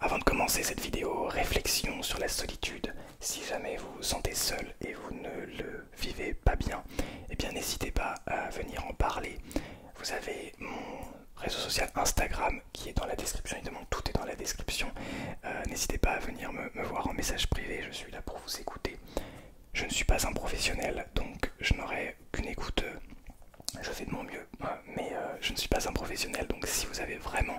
Avant de commencer cette vidéo, réflexion sur la solitude. Si jamais vous vous sentez seul et vous ne le vivez pas bien, eh bien n'hésitez pas à venir en parler. Vous avez mon réseau social Instagram qui est dans la description, demande tout est dans la description. Euh, n'hésitez pas à venir me voir en message privé, je suis là pour vous écouter. Je ne suis pas un professionnel, donc je n'aurai qu'une écoute. Je fais de mon mieux mais euh, je ne suis pas un professionnel, donc si vous avez vraiment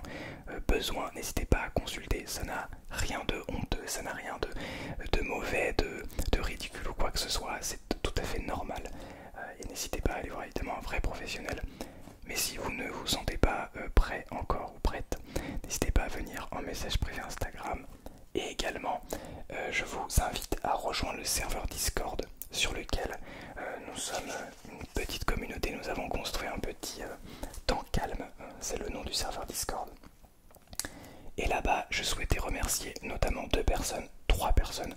euh, besoin, n'hésitez pas à consulter. Ça n'a rien de honteux, ça n'a rien de, mauvais, de, ridicule ou quoi que ce soit. C'est tout à fait normal. Euh, et n'hésitez pas à aller voir évidemment un vrai professionnel. Mais si vous ne vous sentez pas prêt encore ou prête, n'hésitez pas à venir en message privé Instagram. Et également, je vous invite à rejoindre le serveur Discord sur lequel nous sommes une petite communauté, nous avons construit un petit euh, temps calme, euh, c'est le nom du serveur Discord. Et là-bas, je souhaitais remercier notamment deux personnes, trois personnes,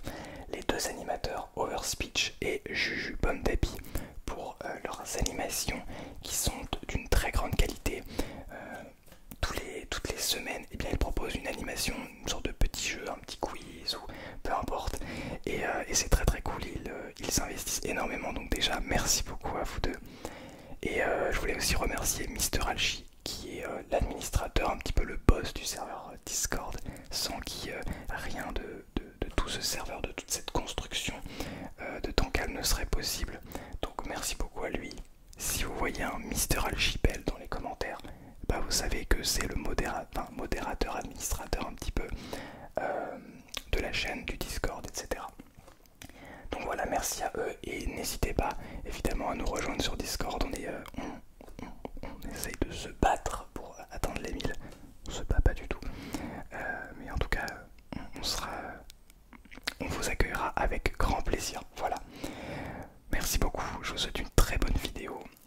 les deux animateurs Overspeech et Juju pour euh, leurs animations qui sont d'une très grande qualité. les, toutes les semaines, et eh bien, ils proposent une animation, une sorte de petit jeu, un petit quiz ou peu importe. Et, euh, c'est très très cool, euh, ils, investissent énormément. Donc déjà, merci beaucoup à vous deux. Et euh, je voulais aussi remercier Mister Alchi qui est l'administrateur, un petit peu le boss du serveur Discord, sans qui rien de, tout ce serveur, de toute cette construction de temps qu'elle ne serait possible. Donc merci beaucoup à lui. Si vous voyez un Mister Alchipel dans les commentaires, bah, vous savez que c'est le modérateur, administrateur un petit peu euh, de la chaîne, du Discord, etc. Donc voilà, merci à eux et n'hésitez pas évidemment à nous rejoindre sur Discord. On, euh, essaye de se battre pour atteindre les 1000. On se bat pas du tout. Euh, mais en tout cas, on, sera, on vous accueillera avec grand plaisir. Voilà. Merci beaucoup. Je vous souhaite une très bonne vidéo.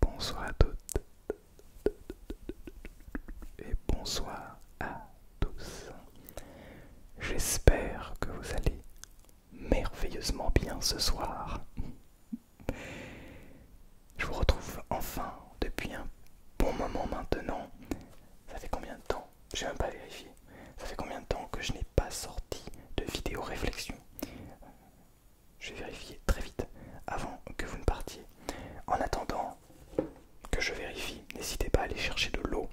Bonsoir à toutes et bonsoir à tous. J'espère que vous allez merveilleusement bien ce soir. Je vous retrouve enfin depuis un bon moment maintenant. Ça fait combien de temps J'ai même pas vérifié. Ça fait combien de temps que je n'ai pas sorti de vidéo réflexion je vais vérifier très vite avant que vous ne partiez. En attendant que je vérifie, n'hésitez pas à aller chercher de l'eau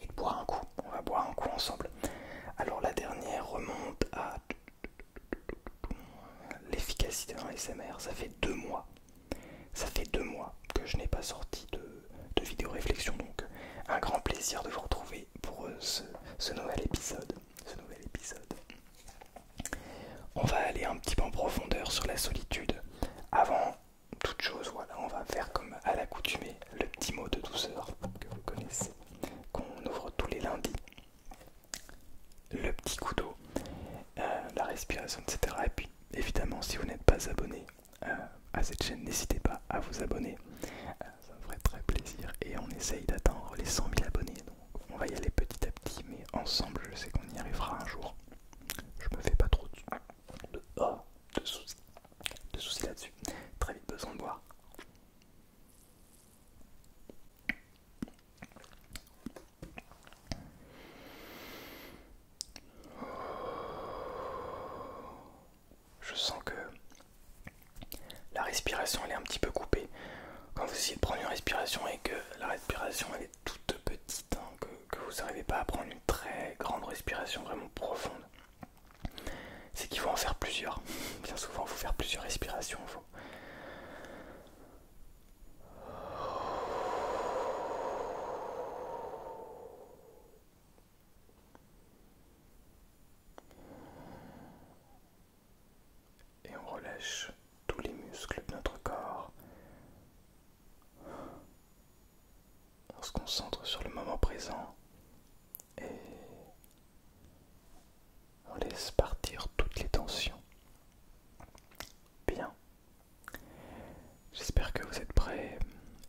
et de boire un coup. On va boire un coup ensemble. Alors la dernière remonte à l'efficacité d'un SMR. Ça fait deux mois. Ça fait deux mois que je n'ai pas sorti de, vidéo réflexion. Donc un grand plaisir de vous retrouver pour euh, ce nouvel épisode ce nouvel épisode. On va aller un petit peu en profondeur sur la solitude. Avant toute chose, voilà, on va faire comme à l'accoutumée le petit mot de douceur que vous connaissez, qu'on ouvre tous les lundis. Le petit coup d'eau, euh, la respiration, etc. Et puis évidemment, si vous n'êtes pas abonné euh, à cette chaîne, n'hésitez pas à vous abonner. Euh, ça me ferait très plaisir. Et on essaye d'atteindre les 100 000 abonnés on va y aller petit à petit, mais ensemble, je sais qu'on y arrivera un jour. Je me fais pas trop de, oh, soucis, soucis là-dessus. Très vite besoin de boire. Je sens que la respiration elle est un petit peu coupée. Quand vous essayez de prendre une respiration et que la respiration elle est toute petite, hein, que, vous n'arrivez pas à prendre une très grande respiration vraiment profonde, c'est qu'il faut en faire plusieurs. Bien souvent, il faut faire plusieurs respirations et on relâche tous les muscles de notre corps. On se concentre sur le moment présent et on laisse partir toutes les tensions. Bien. J'espère que vous êtes prêts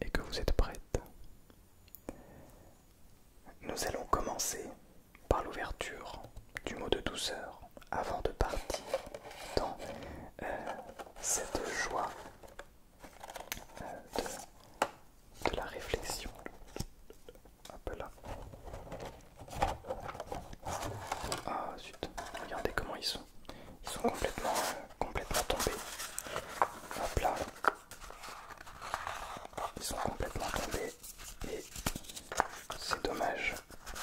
et que vous êtes prêtes. Nous allons commencer par l'ouverture du mot de douceur avant de partir dans euh, cette joie euh, de, la réflexion. Hop là. Ah zut, regardez comment ils sont. Ils sont complètement, euh, complètement tombés. Hop là. Ils sont complètement tombés et c'est dommage.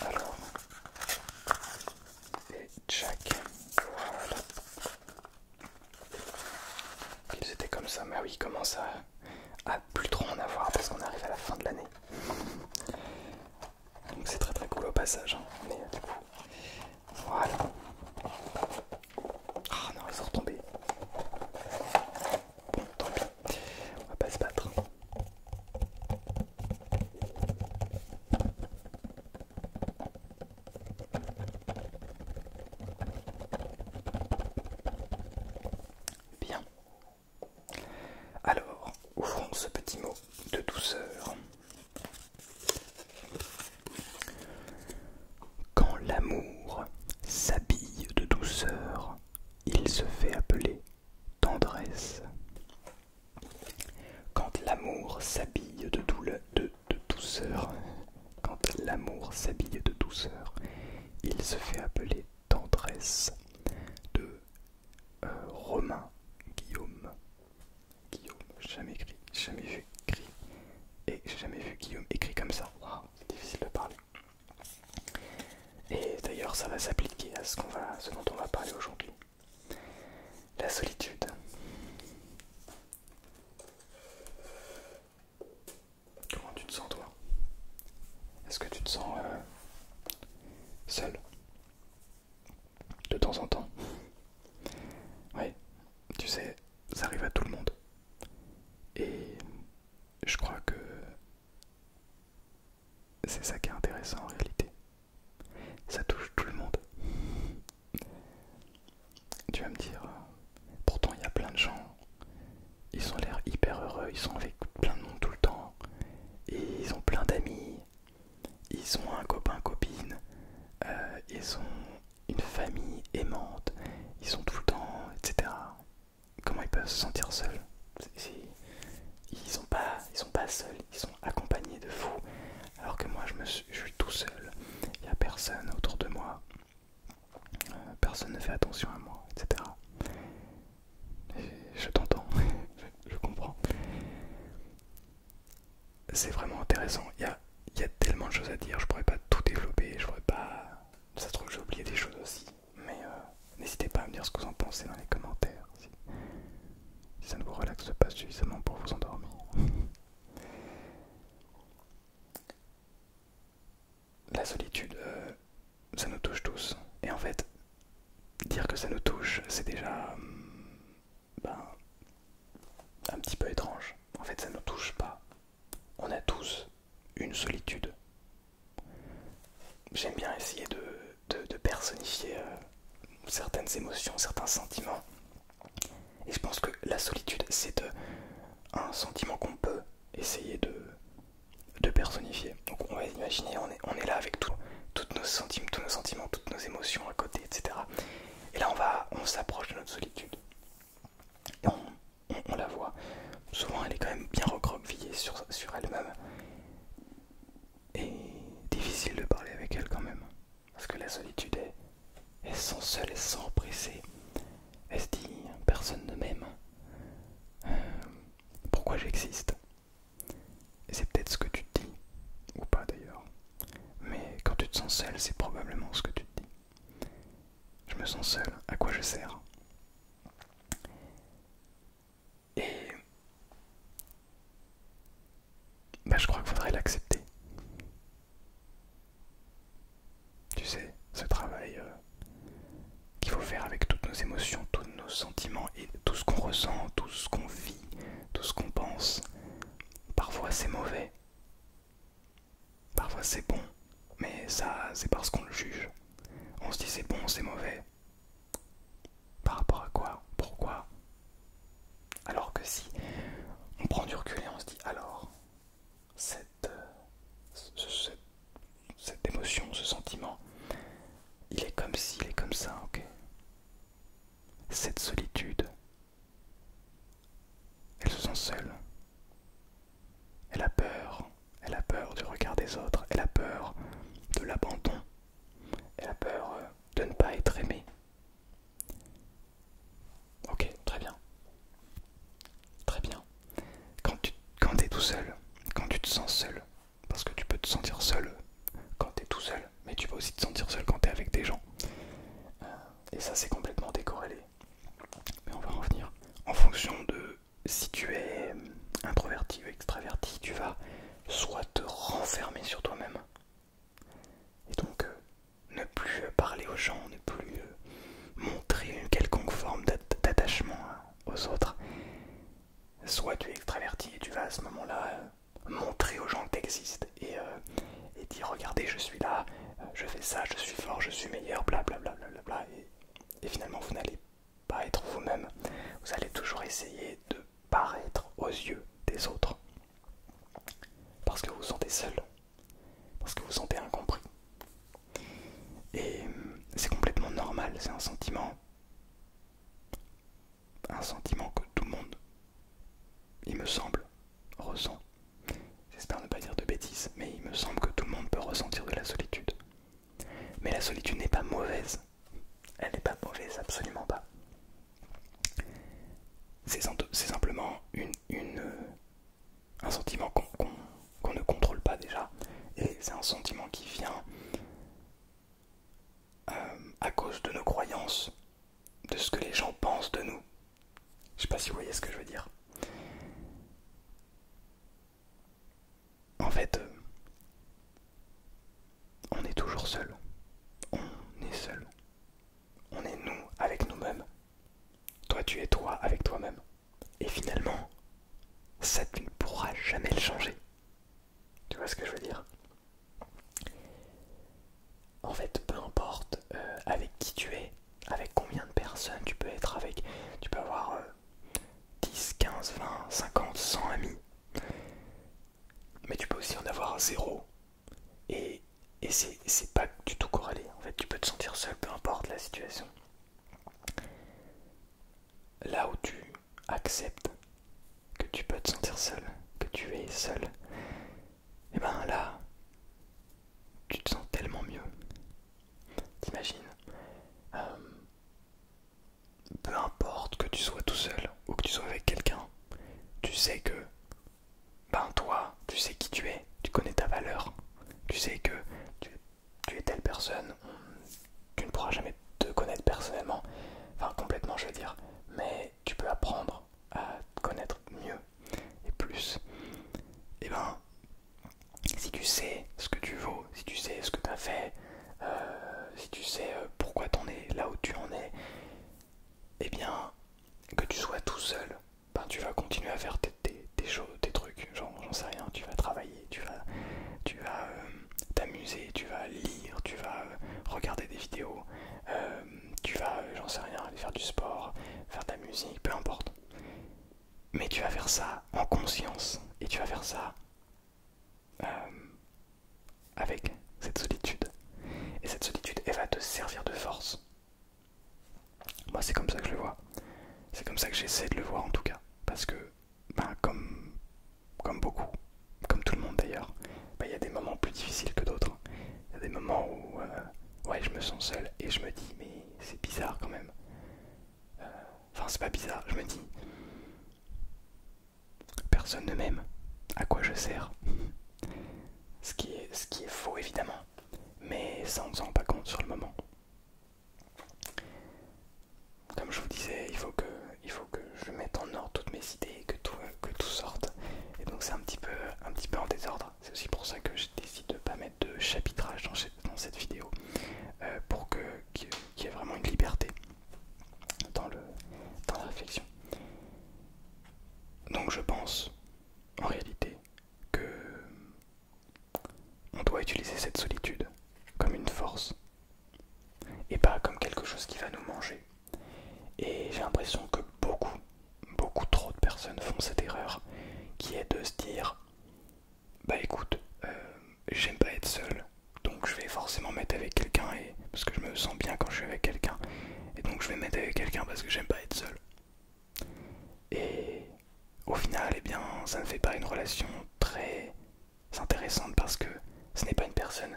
Alors, et Jack, voilà. Ils étaient comme ça, mais oui, commence à, à plus trop en avoir parce qu'on arrive à la fin de l'année. Donc c'est très très cool au passage, hein. mais euh, du coup, voilà. Ah non, ils sont retombés. tant pis. On va pas se battre. Bien. Alors, ouvrons ce petit mot de douceur. Quand l'amour s'habille de douceur, il se fait appeler tendresse. Quand l'amour s'habille de, douceur, quand l'amour s'habille de douceur, il se fait appeler tendresse de euh, Romain Guillaume. Guillaume, jamais écrit, jamais vu écrit, et jamais vu Guillaume écrit comme ça. c'est difficile de parler. Et d'ailleurs, ça va s'appliquer à ce, va, dont on va parler aujourd'hui. La solitude. Comment tu te sens toi Est-ce que tu te sens euh, seul De temps en temps Oui, tu sais, ça arrive à tout le monde. Et je crois que c'est ça qui est intéressant en réalité. Ça touche tout le monde. Tu vas me dire, euh, pourtant il y a plein de gens, ils ont l'air hyper heureux, ils sont avec plein de monde tout le temps, et ils ont plein d'amis, ils ont un copain, copine, euh, ils ont une famille aimante, ils sont tout le temps, etc comment ils peuvent se sentir seuls. ils sont pas, ils sont pas seuls, ils sont accompagnés de fous. Alors que moi, je, me suis, tout seul. Il n'y a personne autour de moi. Euh, personne ne fait attention à moi, etc. je t'entends, je, comprends. C'est vraiment intéressant. Il y a, y tellement de choses à dire. Je pourrais pas tout développer. Je pourrais pas. Ça se trouve, j'ai oublié des choses aussi. Mais euh, n'hésitez pas à me dire ce que vous en pensez dans les commentaires. Si, ça ne vous relaxe pas suffisamment pour vous endormir. La solitude, euh, ça nous touche tous. Et en fait, dire que ça nous touche, c'est déjà hum, ben, un petit peu étrange. En fait, ça ne nous touche pas. On a tous une solitude. J'aime bien essayer de, de, personnifier euh, certaines émotions, certains sentiments. Et je pense que la solitude, c'est euh, un sentiment qu'on peut essayer de, de personnifier. Donc on va imaginer, on est, là avec toutes nos sentiments, tous nos sentiments, toutes nos émotions à côté, etc. Et là on va on s'approche de notre solitude on, la voit. Souvent, elle est quand même bien recroquevillée sur, elle-même. Et difficile de parler avec elle quand même. Parce que la solitude, est, elle se sent seule, elle se sent Elle se dit, personne ne m'aime. Euh, pourquoi j'existe c'est peut-être ce que tu te dis, ou pas d'ailleurs. Mais quand tu te sens seul, c'est probablement ce que tu te dis. Je me sens seul, à quoi je sers et bah, je crois qu'il faudrait l'accepter. Tu sais, ce travail euh, qu'il faut faire avec toutes nos émotions, tous nos sentiments et tout ce qu'on ressent, tout ce qu'on vit, tout ce qu'on pense. Parfois c'est mauvais, parfois c'est bon, mais ça c'est parce qu'on le juge. On se dit c'est bon, c'est mauvais. Par rapport à quoi Pourquoi Alors que si on prend du recul et on se dit alors, cette, émotion, ce sentiment, il est comme si, il est comme ça, ok Cette solitude, elle se sent seule. Elle a peur, elle a peur du regard des autres, elle a peur de l'abandon, elle a peur euh, de ne pas être aimée. Ok, très bien. Très bien. Quand tu es tout seul, quand tu te sens seul, parce que tu peux te sentir seul euh, quand tu es tout seul, mais tu peux aussi te sentir seul quand tu es avec des gens. Euh, et ça, c'est complètement décorrélé. Mais on va revenir en fonction de si tu es introverti ou extraverti, tu vas soit te renfermer sur toi-même, et donc euh, ne plus parler aux gens, ne plus euh, montrer une quelconque forme d'attachement hein, aux autres, soit tu es extraverti et tu vas à ce moment-là euh, montrer aux gens que tu existes et, dire regardez je suis là, je fais ça, je suis fort, je suis meilleur, bla bla bla bla bla, et, et finalement vous n'allez pas vous-même. Vous allez toujours essayer de paraître aux yeux des autres. Parce que vous vous sentez seul. Parce que vous vous sentez incompris. Et c'est complètement normal, c'est un sentiment. Un sentiment que tout le monde, il me semble, ressent. J'espère ne pas dire de bêtises, mais il me semble que tout le monde peut ressentir de la solitude. Mais la solitude n'est pas mauvaise. Elle n'est pas mauvaise, absolument pas. C'est simplement une, euh, un sentiment qu'on ne contrôle pas déjà. Et c'est un sentiment qui vient euh, à cause de nos croyances, de ce que les gens pensent de nous. Je sais pas si vous voyez ce que je veux dire en fait, euh, on est toujours seul. On est seul. On est nous avec nous-mêmes. Toi, tu es toi avec toi-même. Et finalement, ça tu ne pourras jamais le changer. Tu vois ce que je veux dire En fait, peu importe euh, avec qui tu es, avec combien de personnes tu peux être avec, tu peux avoir euh, 10, 15, 20, 50, 100 amis. Mais tu peux aussi en avoir zéro. Et, et c'est pas du tout corrélé. En fait, tu peux te sentir seul, peu importe la situation. Là où tu acceptes que tu peux te sentir seul, que tu es seul, et eh ben là, tu te sens tellement mieux. T'imagines euh, Peu importe que tu sois tout seul ou que tu sois avec quelqu'un, tu sais que, ben toi, tu sais qui tu es, tu connais ta valeur, tu sais que tu, es telle personne, tu ne pourras jamais te connaître personnellement, enfin complètement je veux dire, mais tu peux apprendre à te connaître mieux et plus. Eh ben si tu sais ce que tu vaux, si tu sais ce que tu as fait, euh, si tu sais euh, pourquoi en es là où tu en es, eh bien, que tu sois tout seul, ben, tu vas continuer à faire tes, choses, tes trucs, genre, j'en sais rien, tu vas travailler, tu vas tu vas euh, t'amuser, tu vas lire, tu vas regarder des vidéos, tu vas, j'en sais rien, aller faire du sport, faire de la musique, peu importe. Mais tu vas faire ça en conscience et tu vas faire ça euh, avec cette solitude. Et cette solitude, elle va te servir de force. Moi, c'est comme ça que je le vois. C'est comme ça que j'essaie de le voir en tout cas. Parce que, bah comme, comme beaucoup, comme tout le monde d'ailleurs, ben, il y a des moments plus difficiles que d'autres. Hein. Il y a des moments où euh, ouais, je me sens seul et je me dis, mais c'est bizarre quand même enfin, c'est pas bizarre, je me dis. Personne ne m'aime. À quoi je sers ce, qui est, faux, évidemment. Mais ça, on ne s'en pas compte sur le moment. Comme je vous disais, il faut que, je mette en ordre toutes mes idées, que tout, sorte. Et donc, c'est un, petit peu, en désordre. C'est aussi pour ça que je décide de pas mettre de chapitrage dans, cette vidéo euh, pour que qu'il y ait vraiment une liberté dans, dans la réflexion. Donc je pense en réalité que on doit utiliser cette solitude comme une force et pas comme quelque chose qui va nous manger. Et j'ai l'impression que beaucoup, beaucoup trop de personnes font cette erreur qui est de se dire bah écoute, euh, j'aime pas être seul, donc je vais forcément mettre avec quelqu'un et parce que je me sens bien quand je suis avec quelqu'un, et donc je vais mettre avec quelqu'un parce que j'aime pas être seul. Et au final, eh bien, ça ne fait pas une relation très intéressante parce que ce n'est pas une personne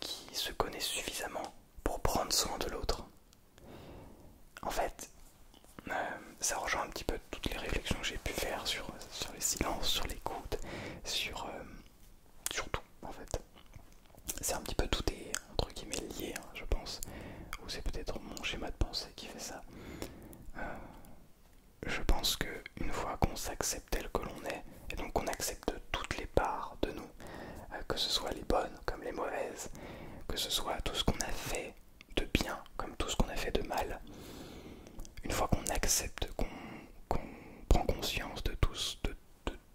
qui se connaît suffisamment pour prendre soin de l'autre. En fait, euh, ça rejoint un petit peu toutes les réflexions que j'ai pu faire sur, sur les silences, sur l'écoute, sur, euh, sur tout en fait. C'est un petit peu tout est entre guillemets lié, hein, je pense, ou c'est peut-être mon schéma de pensée qui fait ça. Euh, je pense que une fois qu'on s'accepte tel que l'on est, et donc qu'on accepte toutes les parts de nous, que ce soit les bonnes comme les mauvaises, que ce soit tout ce qu'on a fait, de bien comme tout ce qu'on a fait de mal, une fois qu'on accepte, qu'on prend conscience de tout, ce, de,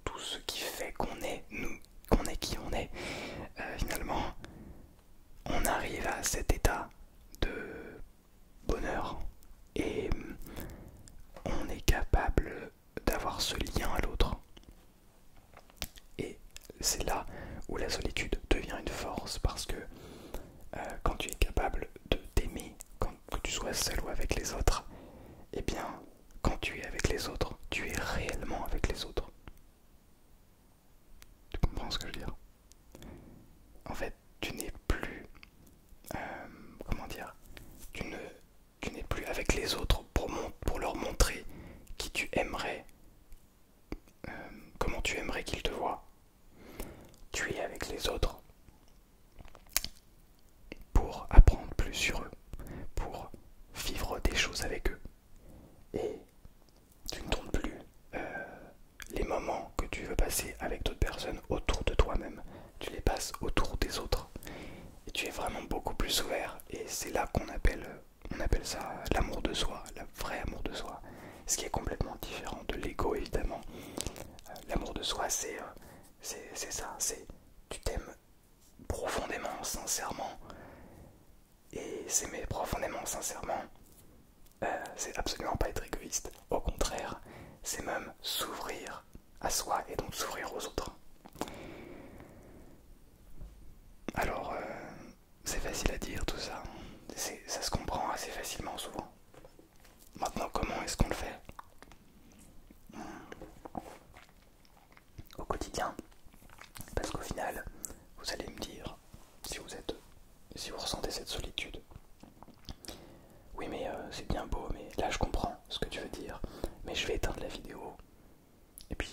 tout ce qui fait qu'on est nous, qu'on est qui on est, euh, finalement, on arrive à cet état de bonheur et on est capable d'avoir ce lien à l'autre. Et c'est là où la solitude devient une force parce que euh, quand tu es capable de t'aimer, que tu sois seul ou avec les autres, et eh bien, quand tu es avec les autres, tu es réellement avec les autres. Tu comprends ce que je veux dire En fait, tu n'es plus... Euh, comment dire Tu n'es plus avec les autres pour, leur montrer qui tu aimerais, euh, comment tu aimerais qu'ils te voient. Tu es avec les autres pour apprendre plus sur eux, pour vivre des choses avec eux. Et tu ne tournes plus euh, les moments que tu veux passer avec d'autres personnes autour de toi-même. Tu les passes autour des autres. Et tu es vraiment beaucoup plus ouvert. Et c'est là qu'on appelle ça l'amour de soi, vrai amour de soi, ce qui est complètement différent de l'ego évidemment. Euh, l'amour de soi, euh, c'est c'est ça, c'est tu t'aimes profondément, sincèrement, et s'aimer profondément, sincèrement, euh, c'est absolument pas être égoïste. Au contraire, c'est même s'ouvrir à soi et donc s'ouvrir aux autres. Alors, c'est facile à dire tout ça. Ça se comprend assez facilement souvent. Maintenant, comment est-ce qu'on le fait au quotidien Parce qu'au final, vous allez me dire, si vous êtes, si vous ressentez cette solitude, oui mais euh, c'est bien beau, mais là je comprends ce que tu veux dire, mais je vais éteindre la vidéo, et puis,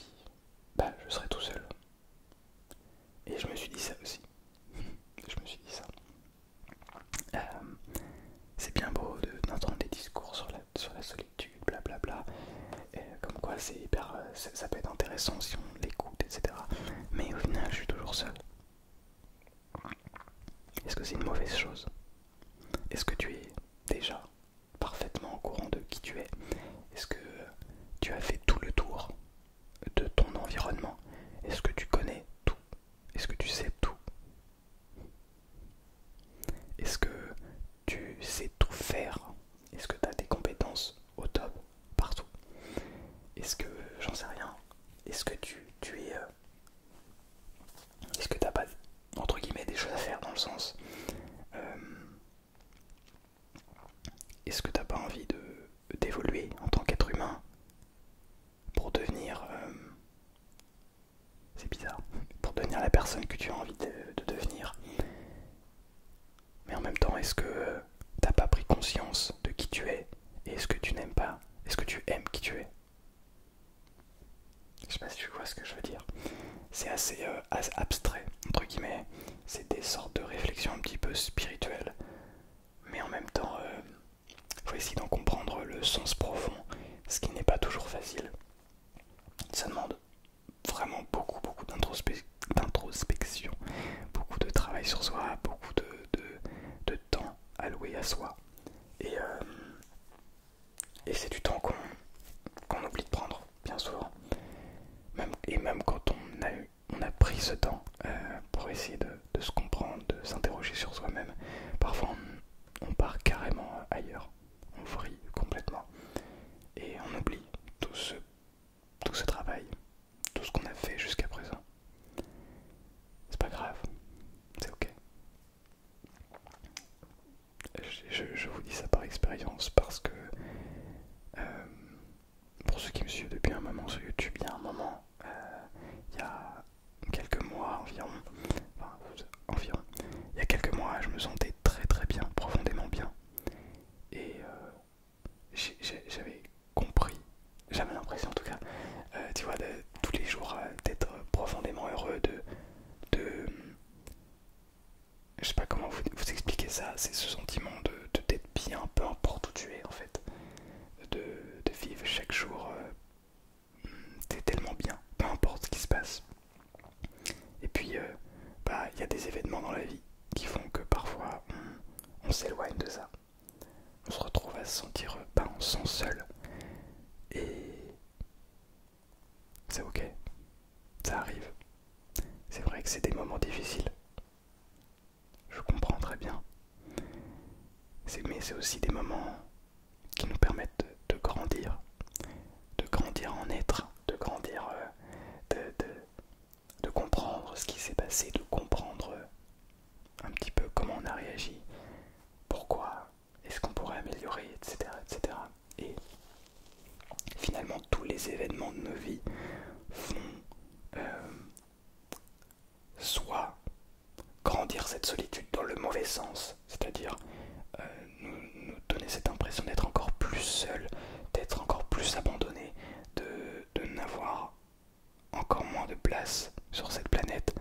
bah, je serai tout seul. Et je me suis dit ça aussi. je me suis dit ça. Euh, c'est bien beau d'entendre des discours sur la, solitude, blablabla. Comme quoi, c'est hyper, euh, ça peut être intéressant si on l'écoute, etc. Mais au final, je suis toujours seul. Est-ce que c'est une mauvaise chose Est-ce que tu es déjà parfaitement au courant de qui tu es Est-ce que tu as fait tout le tour de ton environnement Est-ce que tu connais tout Est-ce que tu sais tout Est-ce que tu sais tout faire Est-ce que tu as des compétences au top partout Est-ce que j'en sais rien Est-ce que tu, es... Euh, est-ce que t'as pas entre guillemets des choses à faire dans le sens euh, est-ce que tu t'as pas envie d'évoluer en tant qu'être humain pour devenir... Euh, c'est bizarre. Pour devenir la personne que tu as envie de, devenir. Mais en même temps, est-ce que t'as pas pris conscience de qui tu es et est-ce que tu n'aimes pas Est-ce que tu aimes qui tu es Je sais pas si tu vois ce que je veux dire. C'est assez, euh, assez abstrait, entre guillemets. C'est des sortes de réflexions un petit peu spirituelles mais en même temps, il euh, faut essayer d'en comprendre le sens profond, ce qui n'est pas toujours facile. Ça demande vraiment beaucoup, beaucoup d'introspection, beaucoup de travail sur soi, beaucoup de, temps alloué à soi. Et, euh, c'est du temps qu'on oublie de prendre, bien souvent. et même quand on a eu on a pris ce temps euh, pour essayer de, se comprendre, de s'interroger sur soi-même. Parfois, on, part carrément ailleurs, on vrille complètement et on oublie tout ce, travail, tout ce qu'on a fait jusqu'à présent. C'est pas grave, c'est ok. Je, vous dis ça par expérience parce que euh, pour ceux qui me suivent depuis un moment sur YouTube, il y a un moment, euh, il y a quelques mois environ, enfin, environ, il y a quelques mois, je me sentais très très bien, profondément bien. Et euh, j'avais compris, j'avais l'impression en tout cas, euh, tu vois, de, tous les jours d'être profondément heureux, de... de je sais pas comment vous, expliquer ça, c'est ce sentiment de, d'être bien, peu importe où tu es en fait de, vivre chaque jour. c'est euh, tellement bien, peu importe ce qui se passe. Et puis, euh, bah, il y a des événements dans la vie qui font que parfois on, s'éloigne de ça. On se retrouve à se sentir, euh, pas seul. Et c'est ok, ça arrive. C'est vrai que c'est des moments difficiles. Je comprends très bien. Mais c'est aussi des moments qui nous permettent de, grandir, de grandir en être, de grandir, euh, de, de, comprendre ce qui s'est passé, de comprendre euh, un petit peu comment on a réagi, pourquoi, est-ce qu'on pourrait améliorer, etc., etc. Et finalement, tous les événements de nos vies font euh, soit grandir cette solitude dans le mauvais sens, c'est-à-dire euh, nous, donner cette impression d'être encore plus seul, d'être encore plus abandonné, de, n'avoir encore moins de place sur cette planète.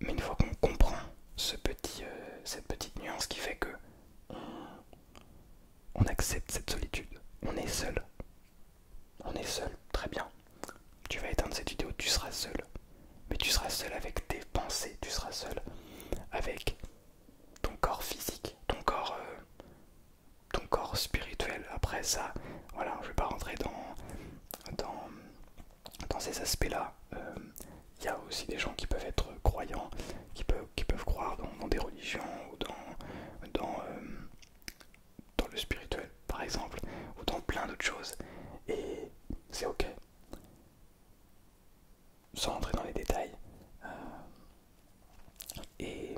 Mais une fois qu'on comprend euh, cette petite nuance qui fait que on accepte cette solitude, on est seul, on est seul, très bien. Tu vas éteindre cette vidéo, tu seras seul. Mais tu seras seul avec tes pensées, tu seras seul avec ton corps physique, ton corps, euh, ton corps spirituel. Après ça, voilà, je vais pas rentrer dans, ces aspects-là. Il euh, y a aussi des gens qui peuvent être croyants, qui peuvent, croire dans, des religions ou dans, euh, dans le spirituel par exemple, ou dans plein d'autres choses, et c'est ok. Sans entrer dans les détails. Euh, et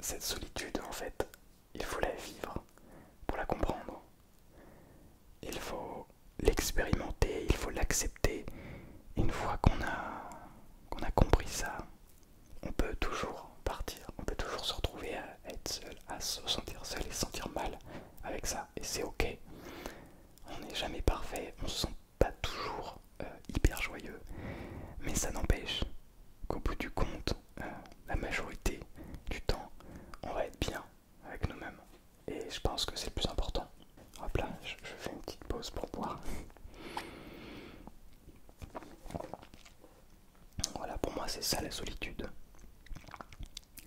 cette solitude, en fait, il faut la vivre pour la comprendre. Il faut l'expérimenter, il faut l'accepter. Une fois qu'on a, qu'on a compris ça, on peut toujours partir, on peut toujours se retrouver à être seul, à se sentir seul et sentir mal avec ça, et c'est ok. On n'est jamais parfait, on ne se sent pas toujours euh, hyper joyeux, mais ça n'empêche qu'au bout du compte, euh, la majorité du temps, on va être bien avec nous-mêmes. Et je pense que c'est le plus important. Hop là, je fais une petite pause pour boire. Voilà, pour moi, c'est ça la solitude.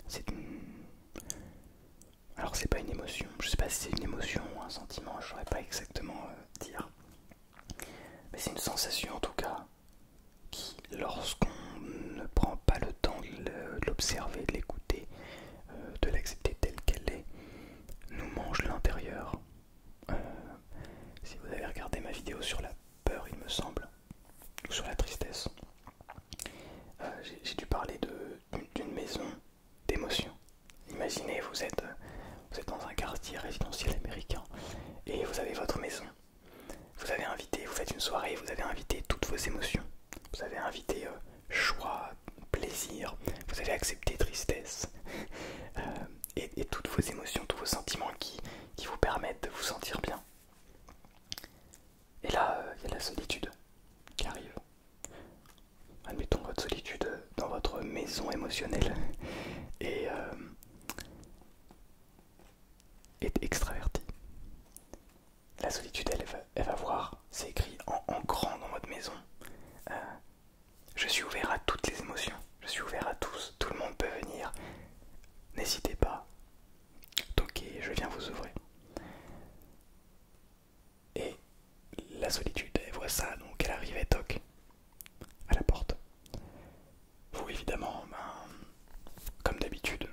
C'est une. Alors, c'est pas une émotion. Je sais pas si c'est une émotion ou un sentiment, je saurais pas exactement euh, dire. Mais c'est une sensation en tout cas qui, lorsqu'on ne prend pas le temps de l'observer, de l'écouter, euh, de l'accepter telle qu'elle est, nous mange l'intérieur euh, si vous avez regardé ma vidéo sur la peur, il me semble, ou sur la tristesse, euh, j'ai dû parler d'une maison d'émotions. Imaginez, vous êtes, euh, vous êtes dans un quartier résidentiel américain et vous avez votre maison. Vous avez invité, vous faites une soirée, vous avez invité toutes vos émotions. Vous avez invité choix, plaisir, vous avez accepté tristesse. et, toutes vos émotions, tous vos sentiments qui, vous permettent de vous sentir bien. Et là, euh, il y a la solitude qui arrive. Admettons votre solitude dans votre maison émotionnelle et euh, est extravertie. La solitude, elle, va, voir, c'est écrit en, grand dans votre maison. Euh, je suis ouvert à toutes les émotions, je suis ouvert à tous, tout le monde peut venir. N'hésitez pas. Toquez, je viens vous ouvrir. Et la solitude, elle voit ça, donc elle arrive et toque à la porte. Vous évidemment, ben, comme d'habitude,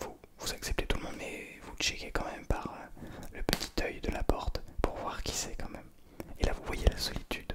vous, vous acceptez tout le monde, mais vous checkez quand même par euh, le petit œil de la porte pour voir qui c'est quand même. Et là vous voyez la solitude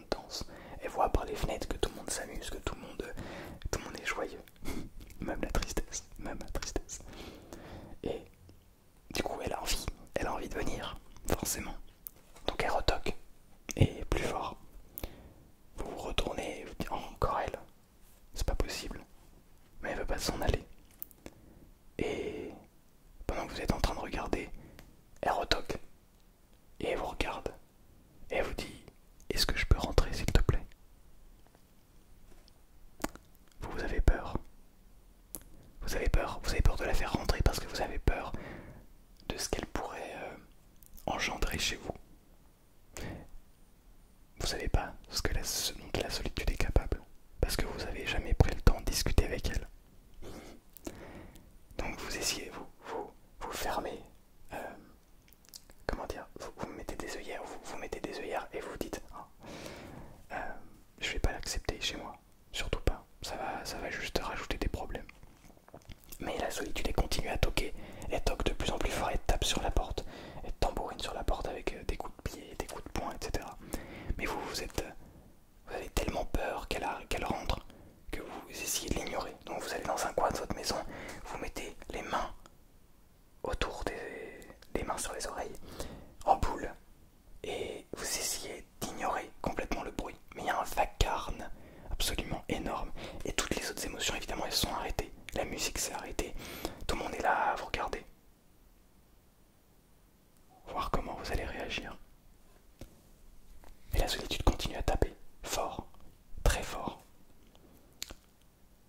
danse. Elle voit par les fenêtres que tout le monde s'amuse, que tout le monde, tout le monde est joyeux. même la tristesse, même la tristesse. Et du coup, elle a envie, elle a envie de venir, forcément. Donc elle retoque, et plus fort. Vous vous retournez, oh, encore elle, c'est pas possible. Mais elle veut pas s'en aller. Et pendant que vous êtes en train de regarder, elle retoque. Et elle vous regarde et elle vous dit Est-ce que je peux rentrer s'il te plaît Vous, vous avez peur. Vous avez peur, vous avez peur de la faire rentrer parce que vous avez peur de ce qu'elle pourrait euh, engendrer chez vous. Vous savez pas ce, que la, la solitude est capable, parce que vous n'avez jamais pris le temps de discuter avec elle. Donc vous essayez, vous vous, vous fermez, euh, comment dire, vous, vous mettez des œillères, vous, vous mettez des et vous dites, ne hein, euh, je vais pas l'accepter chez moi, surtout pas, ça va, ça va juste rajouter des problèmes. Mais la solitude est continue à toquer, elle toque de plus en plus fort, et tape sur la porte, elle tambourine sur la porte avec euh, des coups de pied, des coups de poing, etc. Mais vous, vous êtes, vous avez tellement peur qu'elle rentre que vous essayez de l'ignorer. Donc vous allez dans un coin de votre maison, vous mettez les mains autour des, mains sur les oreilles, en boule, et vous essayez d'ignorer complètement le bruit. Mais il y a un vacarme absolument énorme. Et toutes les autres émotions, évidemment, elles sont arrêtées. La musique s'est arrêtée. Tout le monde est là à vous regarder. Voir comment vous allez réagir. Et la solitude continue à taper, fort, très fort.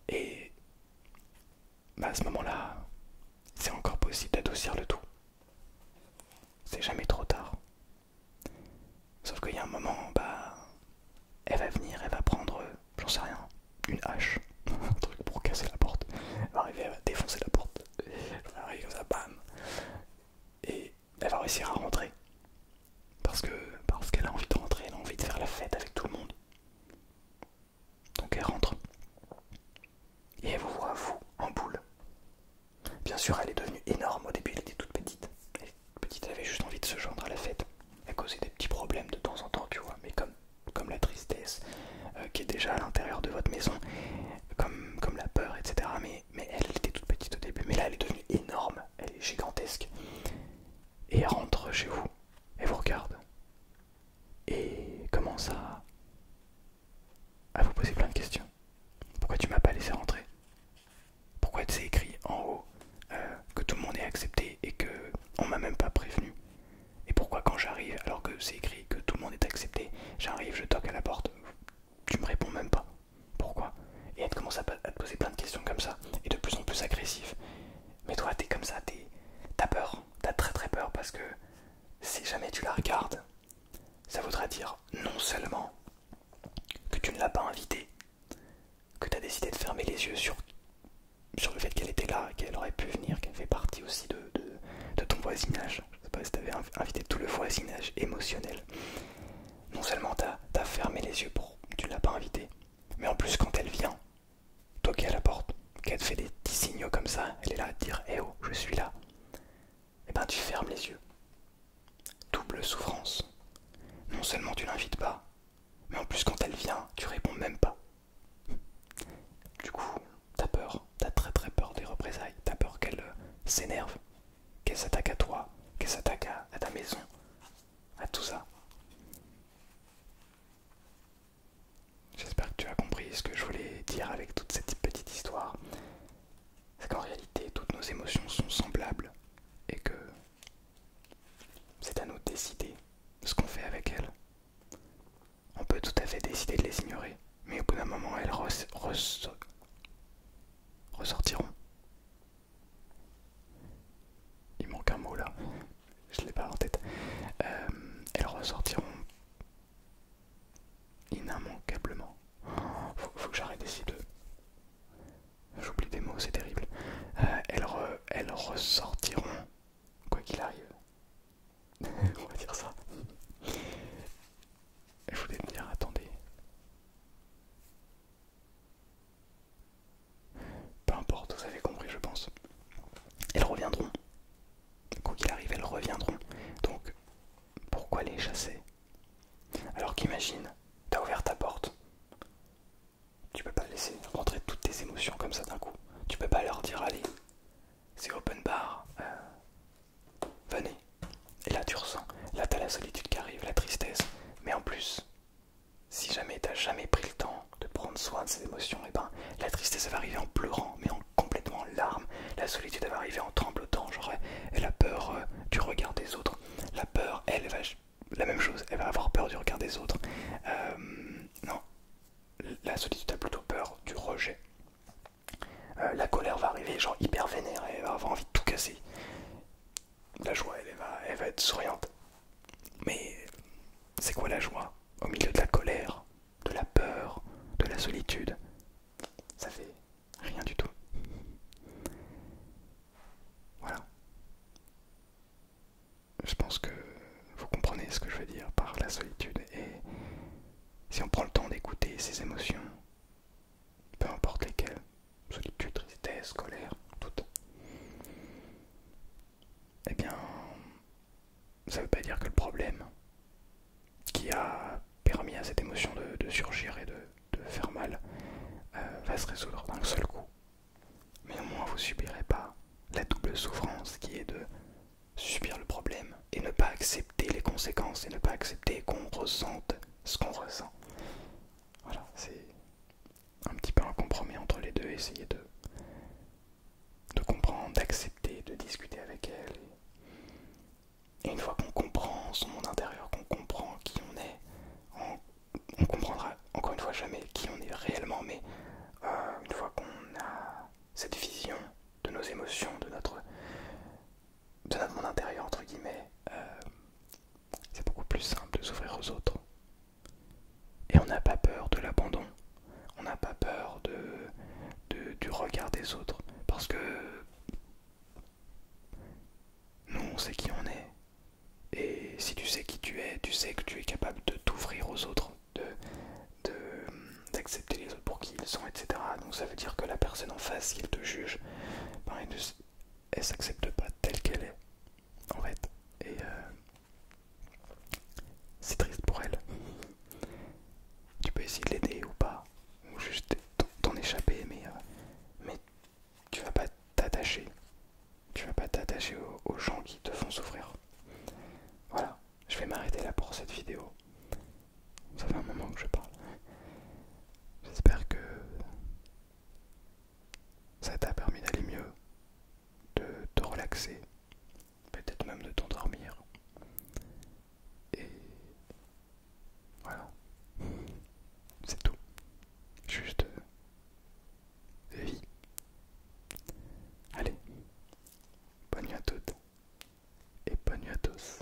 Et bah à ce moment-là, c'est encore possible d'adoucir le tout. C'est jamais trop tard. Sauf qu'il y a un moment, bah, elle va venir, elle va prendre, j'en sais rien, une hache, un truc pour casser la porte. Elle va arriver, elle va défoncer la porte. Elle va arriver comme ça, bam. Et elle va réussir à rentrer. Parce que parce qu'elle a envie de rentrer, elle a envie de faire la fête avec tout le monde. Donc elle rentre. Et elle vous voit, vous, en boule. Bien sûr, elle est devenue énorme. Au début, elle était toute petite. Elle, petite, elle avait juste envie de se joindre à la fête. Elle causé des petits problèmes de temps en temps, tu vois. Mais comme, la tristesse euh, qui est déjà à l'intérieur de votre maison, comme, la peur, etc mais elle, était toute petite au début, mais là elle est devenue énorme, elle est gigantesque. Et elle rentre chez vous, elle vous regarde, et commence à, vous poser plein de questions. Pourquoi tu m'as pas laissé rentrer Pourquoi tu écrit en haut euh, que tout le monde est accepté et que on m'a même pas prévenu Et pourquoi quand j'arrive, alors que c'est écrit que tout le monde est accepté, j'arrive, je toque à la porte, tu me réponds même pas. Pourquoi Et elle commence à, te poser plein de questions comme ça, et de plus en plus agressif. Mais toi, t'es comme ça, t'as peur, t'as très très peur parce que si jamais tu la regardes, ça voudra dire non seulement que tu ne l'as pas invitée, que t'as décidé de fermer les yeux sur, le fait qu'elle était là, qu'elle aurait pu venir, qu'elle fait partie aussi de, de, ton voisinage. Je sais pas si t'avais invité tout le voisinage émotionnel non seulement t'as fermé les yeux pour tu l'as pas invitée, mais en plus quand elle vient toi qui est à la porte, qu'elle te fait des petits signaux comme ça, elle est là à te dire Eh oh, je suis là et eh ben tu fermes les yeux. Double souffrance. Non seulement tu l'invites pas, mais en plus quand elle vient, tu réponds même pas. Du coup, t'as peur, t'as très très peur des représailles, t'as peur qu'elle euh, s'énerve, qu'elle s'attaque à toi, qu'elle s'attaque à, ta maison, à tout ça. J'espère que tu as compris ce que je voulais dire avec toute cette petite histoire. C'est qu'en réalité, toutes nos émotions sont semblables et que c'est à nous de décider ce qu'on fait avec elles. On peut tout à fait décider de les ignorer, mais au bout d'un moment, elles, ressentent ressortiront. Il manque un mot là, je l'ai pas en tête. Euh, elles ressortiront inimmanquablement. Faut, faut que j'arrête ici de. J'oublie des mots, c'est terrible. Euh, elles, elles ressortiront quoi qu'il arrive. On va dire ça. Je voulais me dire, attendez, peu importe, vous avez compris, je pense. Elles reviendront. Quoi qu'il arrive, elles reviendront. Donc, pourquoi les chasser Alors qu'imagine, t'as ouvert ta porte. Tu peux pas laisser rentrer toutes tes émotions comme ça d'un coup. Tu peux pas leur dire allez, c'est open bar, euh, Venez. Et là tu ressens, là t'as la solitude qui arrive, la tristesse. Mais en plus, si jamais t'as jamais pris le temps de prendre soin de ces émotions, et eh ben la tristesse va arriver en pleurant, mais en complètement larmes. La solitude va arriver en tremblotant, genre et euh, la peur euh, du regard des autres. La peur, elle, va la même chose, elle va avoir peur du regard des autres. Euh, non, la solitude a plutôt peur du rejet. la colère va arriver genre hyper vénère, elle va avoir envie de tout casser la joie, elle, va, va être souriante. Mais c'est quoi la joie Au milieu de la colère, de la peur, de la solitude, ça fait rien du tout. Voilà. Je pense que vous comprenez ce que je veux dire par la solitude. Et si on prend le temps d'écouter ses émotions, peu importe lesquelles, solitude, tristesse, colère, toutes, eh bien, ça ne veut pas dire que le problème qui a permis à cette émotion de, surgir et de, faire mal euh, va se résoudre d'un seul coup. Mais au moins, vous subirez pas la double souffrance qui est de subir le problème et ne pas accepter les conséquences et ne pas accepter qu'on ressente ce qu'on ressent. Voilà, c'est un petit peu un compromis entre les deux, essayer de, de comprendre, d'accepter, de discuter avec elle. Et une fois qu'on comprend son monde intérieur, qu'on comprend qui on est, on, comprendra encore une fois jamais qui on est réellement, mais euh, une fois qu'on a cette vision de nos émotions, de notre de mon intérieur, entre guillemets, euh, c'est beaucoup plus simple de s'ouvrir aux autres. Et on n'a pas peur de l'abandon, on n'a pas peur de, du regard des autres, parce que nous, on sait qui on est. Et si tu sais qui tu es, tu sais que tu es capable de t'ouvrir aux autres, de d'accepter les autres pour qui ils sont, etc. Donc ça veut dire que la personne en face, qui te juge, ben, elle s'accepte pas telle qu'elle est en fait et euh, c'est triste pour elle tu peux essayer de l'aider ou pas ou juste t'en échapper mais, euh, mais tu vas pas t'attacher tu vas pas t'attacher aux gens qui te font souffrir voilà je vais m'arrêter là pour cette vidéo ça fait un moment que je parle J'espère que ça t'a permis d'aller mieux, de te relaxer, peut-être même de t'endormir. Et voilà. C'est tout. Juste euh, vie. Allez, bonne nuit à toutes et bonne nuit à tous.